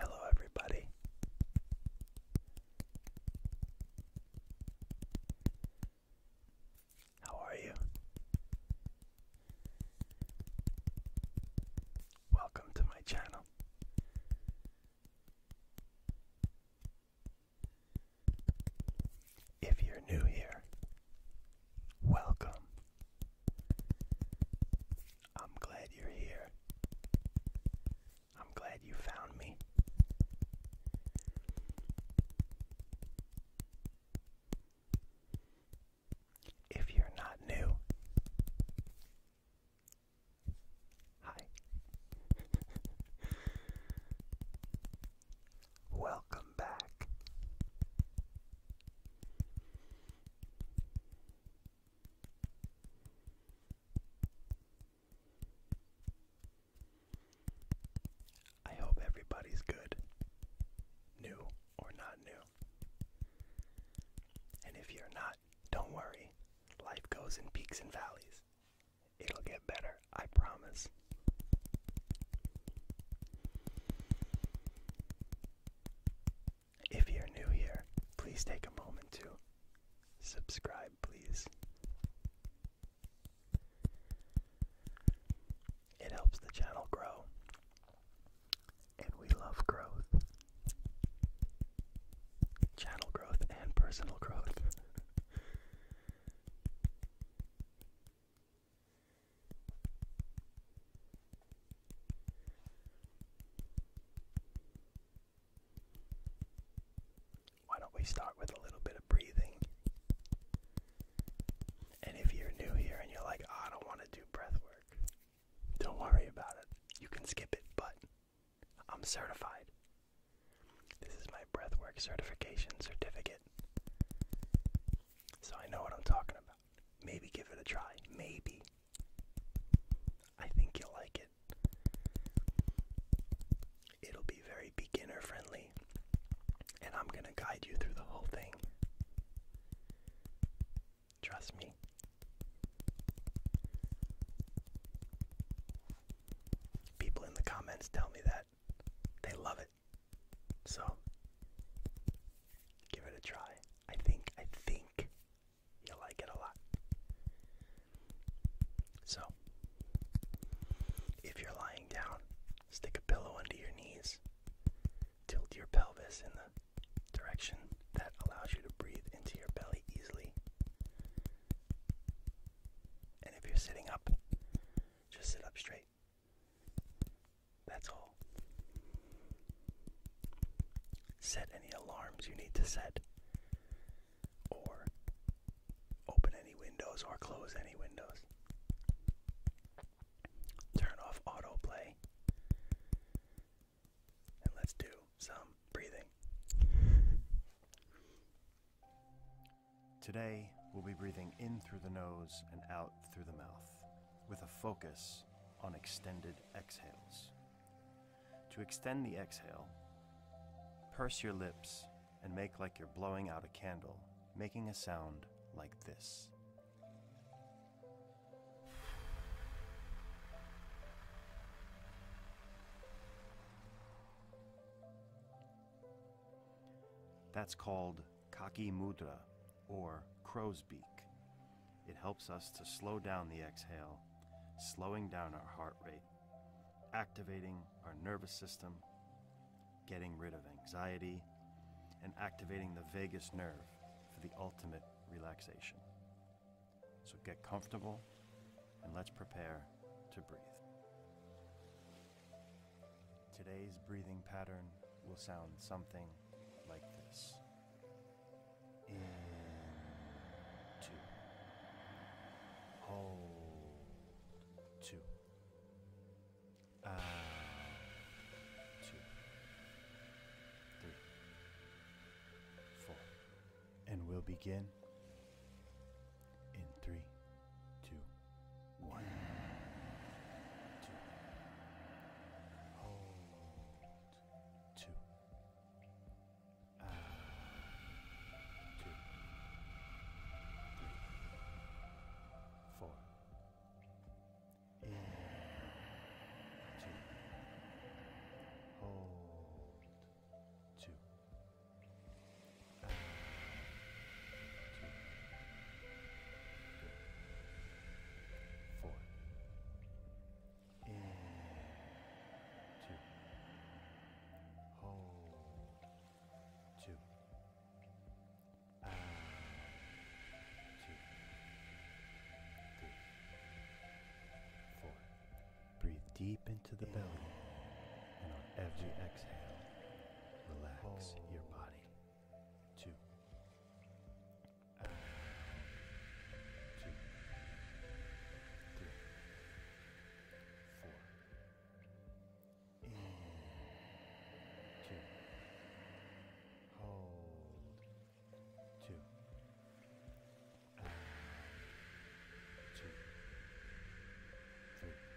Hello, everybody. How are you? Welcome to my channel. If you're new here, welcome. I'm glad you're here. I'm glad you found me. If you're not new, hi. Welcome back. I hope everybody's good, new or not new. And if you're not, don't worry. Life goes in peaks and valleys. It'll get better. I promise. If you're new here, please take a moment to subscribe, please. It helps the channel grow, and we love growth. Channel growth and personal growth. Why don't we start with a little bit of breathing? And if you're new here and you're like, oh, I don't want to do breath work, don't worry about it. You can skip it, but I'm certified. This is my breathwork certification certificate. So I know what I'm talking about. Maybe give it a try. Maybe. I think you'll like it. It'll be very beginner friendly, and I'm going to guide you through the whole thing. Trust me. People in the comments tell me that they love it. So give it a try. I think I think you'll like it a lot. So if you're lying down, stick a pillow under your knees. Tilt your pelvis in the direction that allows you to breathe into your belly easily. And if you're sitting up, just sit up straight. That's all. Set any alarms you need to set, or open any windows or close any windows. Turn off autoplay, and let's do some breathing. Today, we'll be breathing in through the nose and out through the mouth, with a focus on extended exhales. To extend the exhale, purse your lips and make like you're blowing out a candle, making a sound like this. That's called Kaki Mudra, or crow's beak. It helps us to slow down the exhale, slowing down our heart rate, activating our nervous system, getting rid of anxiety, and activating the vagus nerve for the ultimate relaxation. So get comfortable and let's prepare to breathe. Today's breathing pattern will sound something like this. In ah, two. Hold two. Out two. And we'll begin in three, two. One, two. Hold, two. Out, two. Three, four. In, two. Hold, two. Out, two. Three four. In, two. Hold, two. Out, two. Three, four. Breathe deep into the belly, and on every exhale, relax your body two, out, two, three, four, in, two, hold, two, out, two, three, four.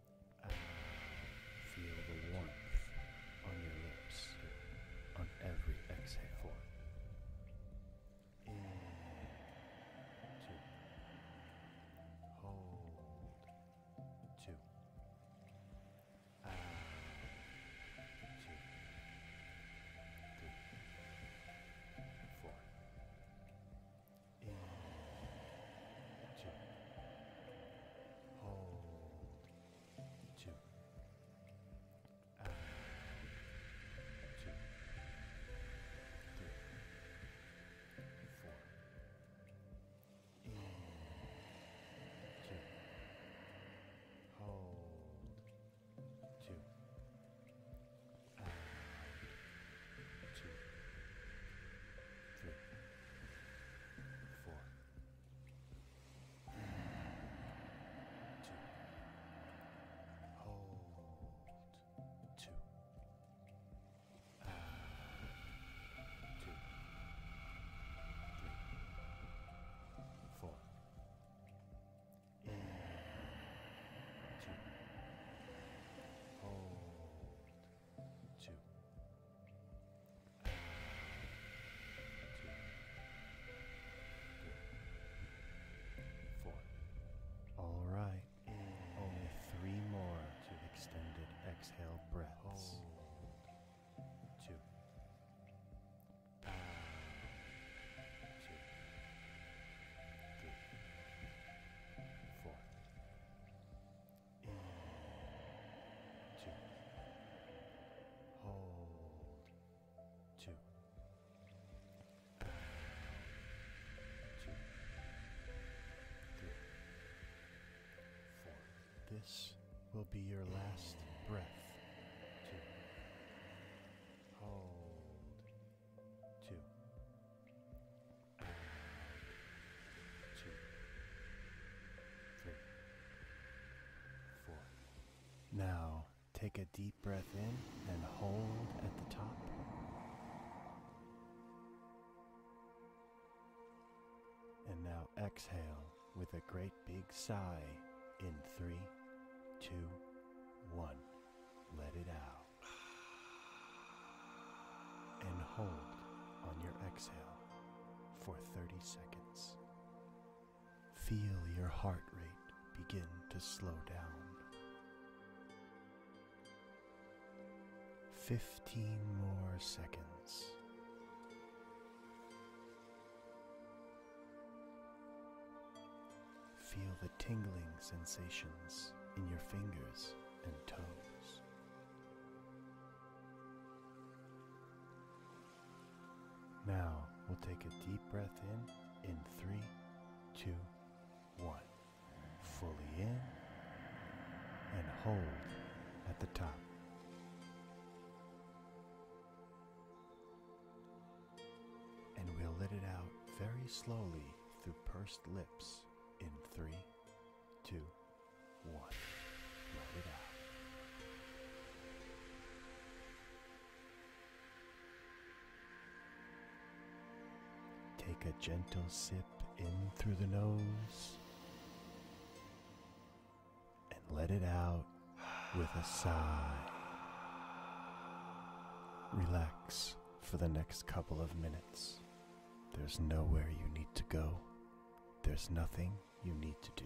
Uh, feel the warmth on your lips on every exhale. In two. Hold two. Out uh, two. Three. Four. In two. Hold two. Out. Two. Three. Four. In. Two. Hold two. Out. Two. Three. Four. Two. Hold. Two. And two. Three. Four. In. Two. Hold two. All right. Only three more to extended exhale breaths. Hold in, two, hold, two, out, two, three, four. This will be your last breath. Two, hold, two, out, two, three. Now, take a deep breath in and hold at the top. And now exhale with a great big sigh in three, two, one. Let it out. And hold on your exhale for 30 seconds. Feel your heart rate begin to slow down. 15 more seconds. Feel the tingling sensations in your fingers and toes. Now we'll take a deep breath in in three, two, one. Fully in and hold at the top. And we'll let it out very slowly through pursed lips in three, two, Take a gentle sip in through the nose and let it out with a sigh. Relax for the next couple of minutes. There's nowhere you need to go. There's nothing you need to do.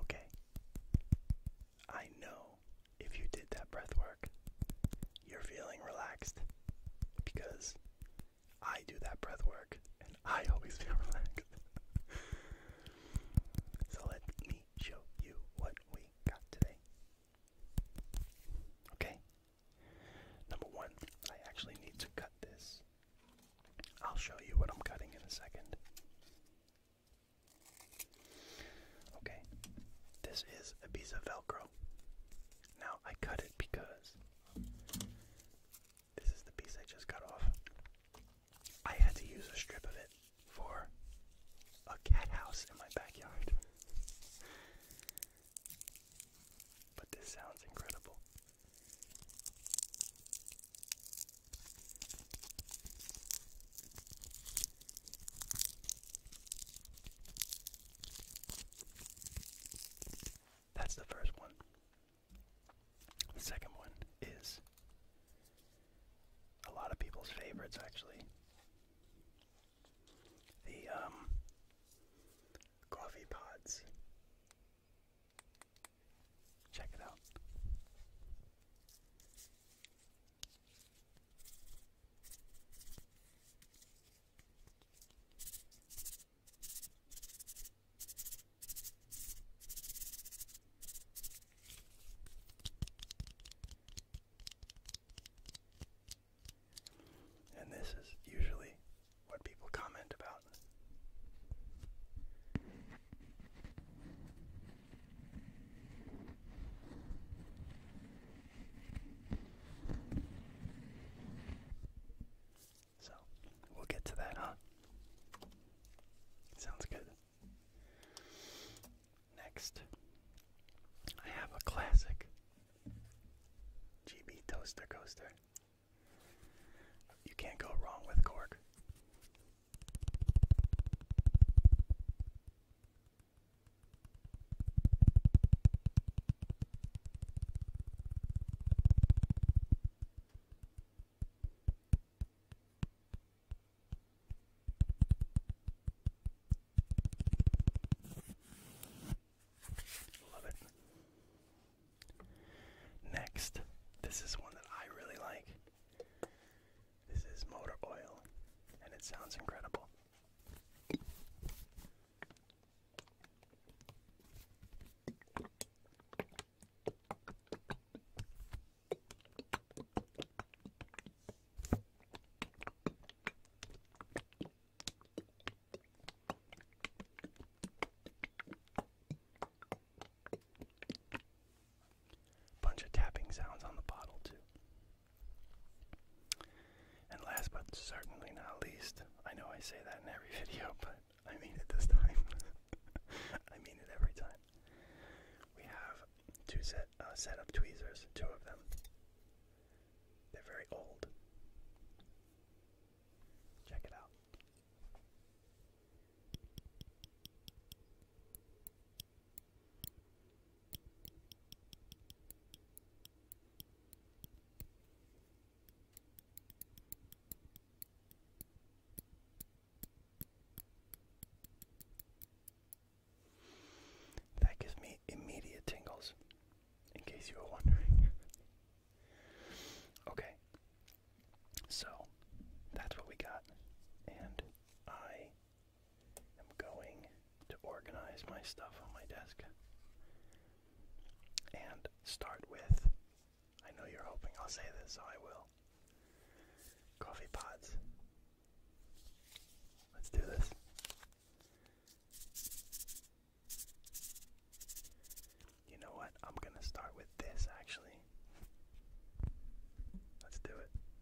Okay. I know if you did that breath work, you're feeling relaxed because I do that breath work and I always feel relaxed. so let me show you what we got today. Okay. Number one, I actually need to cut this. I'll show you what I'm cutting in a second. Okay, this is a piece of Velcro. Now I cut it because this is the piece I just cut off. I had to use a strip of it for a cat house in my backyard. But this sounds incredible. That's the first one. The second one is a lot of people's favorites, actually. The um, coffee pods. Check it out. And this is usually what people comment about. So we'll get to that, huh? Sounds good. Next, I have a classic GB Toaster Coaster. You can't go wrong with cork. Love it. Next, this is one that I really like. This is motor oil, and it sounds incredible. Bunch of tapping sounds on the bottle, too. And last but certainly not least, I know I say that in every video, but I mean it this time. I mean it every time. We have two set up uh, tweezers, two of them. They're very old. Check it out. That gives me immediate tingles, in case you were wondering. okay, so that's what we got, and I i am going to organize my stuff on my desk and start with I know you're hoping I'll say this, so I will. Coffee pods. Let's do this. You know what? I'm going to start with this actually. Let's do it.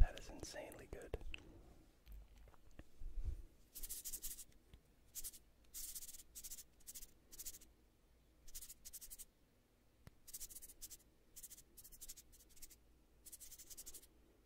That is insanely good.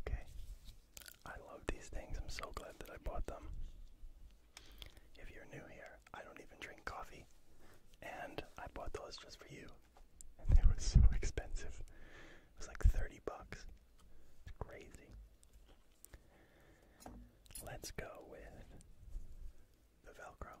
Okay. I love these things. I'm so glad that I bought them. If you're new here, I don't even drink coffee. And I bought those just for you. And they were so expensive. It was like 30 bucks. It's crazy. Let's go with the Velcro.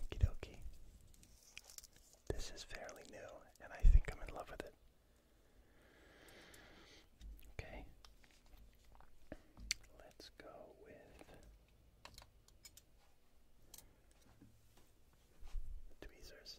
Okie dokie. This is fairly new, and I think I'm in love with it. Okay. Let's go with. Tweezers.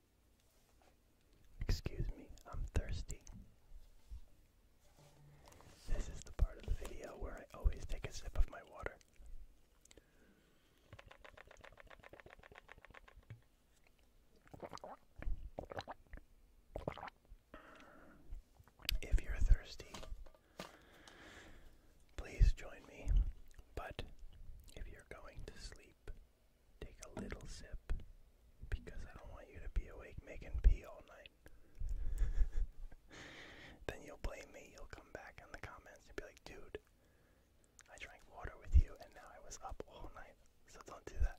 Excuse me, I'm thirsty. This is the part of the video where I always take a sip of my water. If you're thirsty, please join me. But if you're going to sleep, Take a little sip because I don't want you to be awake making pee all night. then you'll blame me. You'll come back in the comments and be like, dude, I drank water with you and now I was up all night. So don't do that.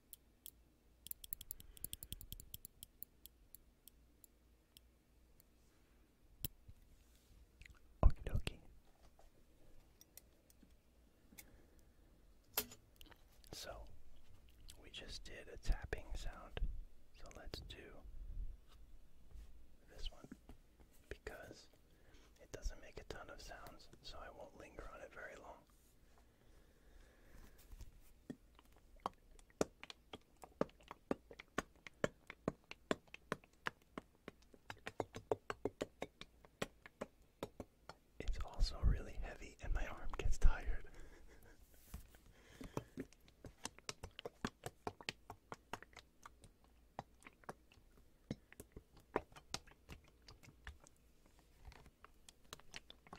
Okie So, we just did a tapping sound. So let's do this one because it doesn't make a ton of sounds, so I won't linger on it very long. It's also really heavy, and my arm gets tired.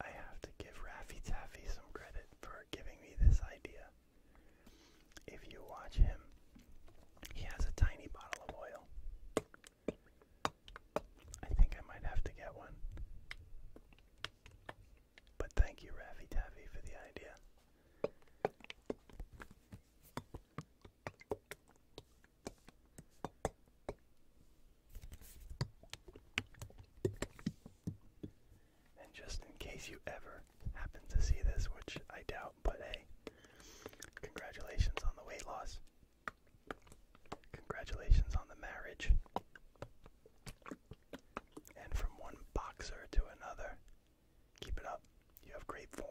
I have to give Raffy Taffy some credit for giving me this idea. If you watch him, he has a tiny bottle of oil. I think I might have to get one. But thank you, Raffy Taffy, for the idea. And just in case you ever happen to see this, which I doubt, but hey, congratulations on the weight loss. Congratulations on the marriage. And from one boxer to another, Keep it up. You have great form.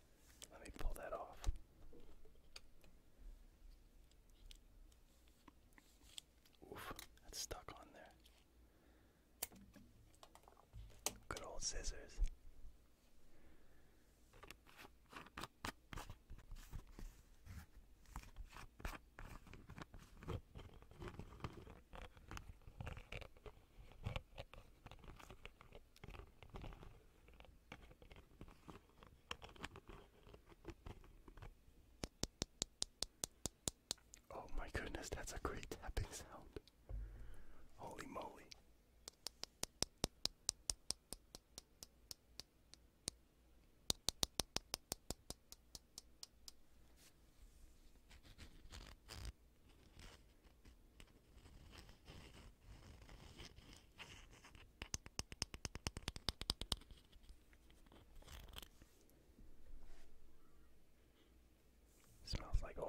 Let me pull that off. Oof, that's stuck on there. Good old scissors. Oh my goodness, that's a great tapping sound. Holy moly. Smells like oil.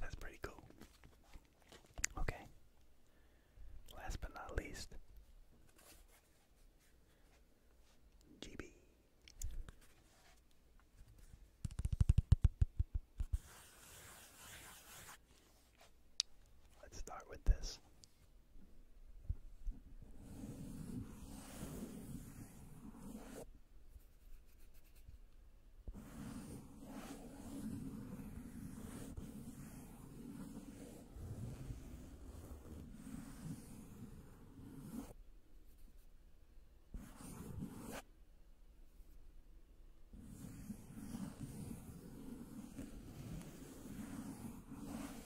That's pretty cool. Okay. Last but not least, GB. Let's start with this.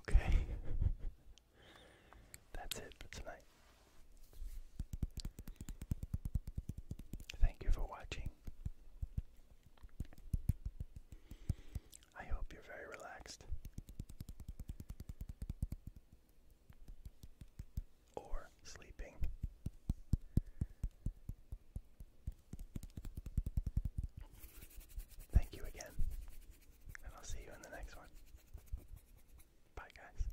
Okay. That's it for tonight. Thank you for watching. I hope you're very relaxed. Or sleeping. Thank you again, and I'll see you in the next one. Bye, guys.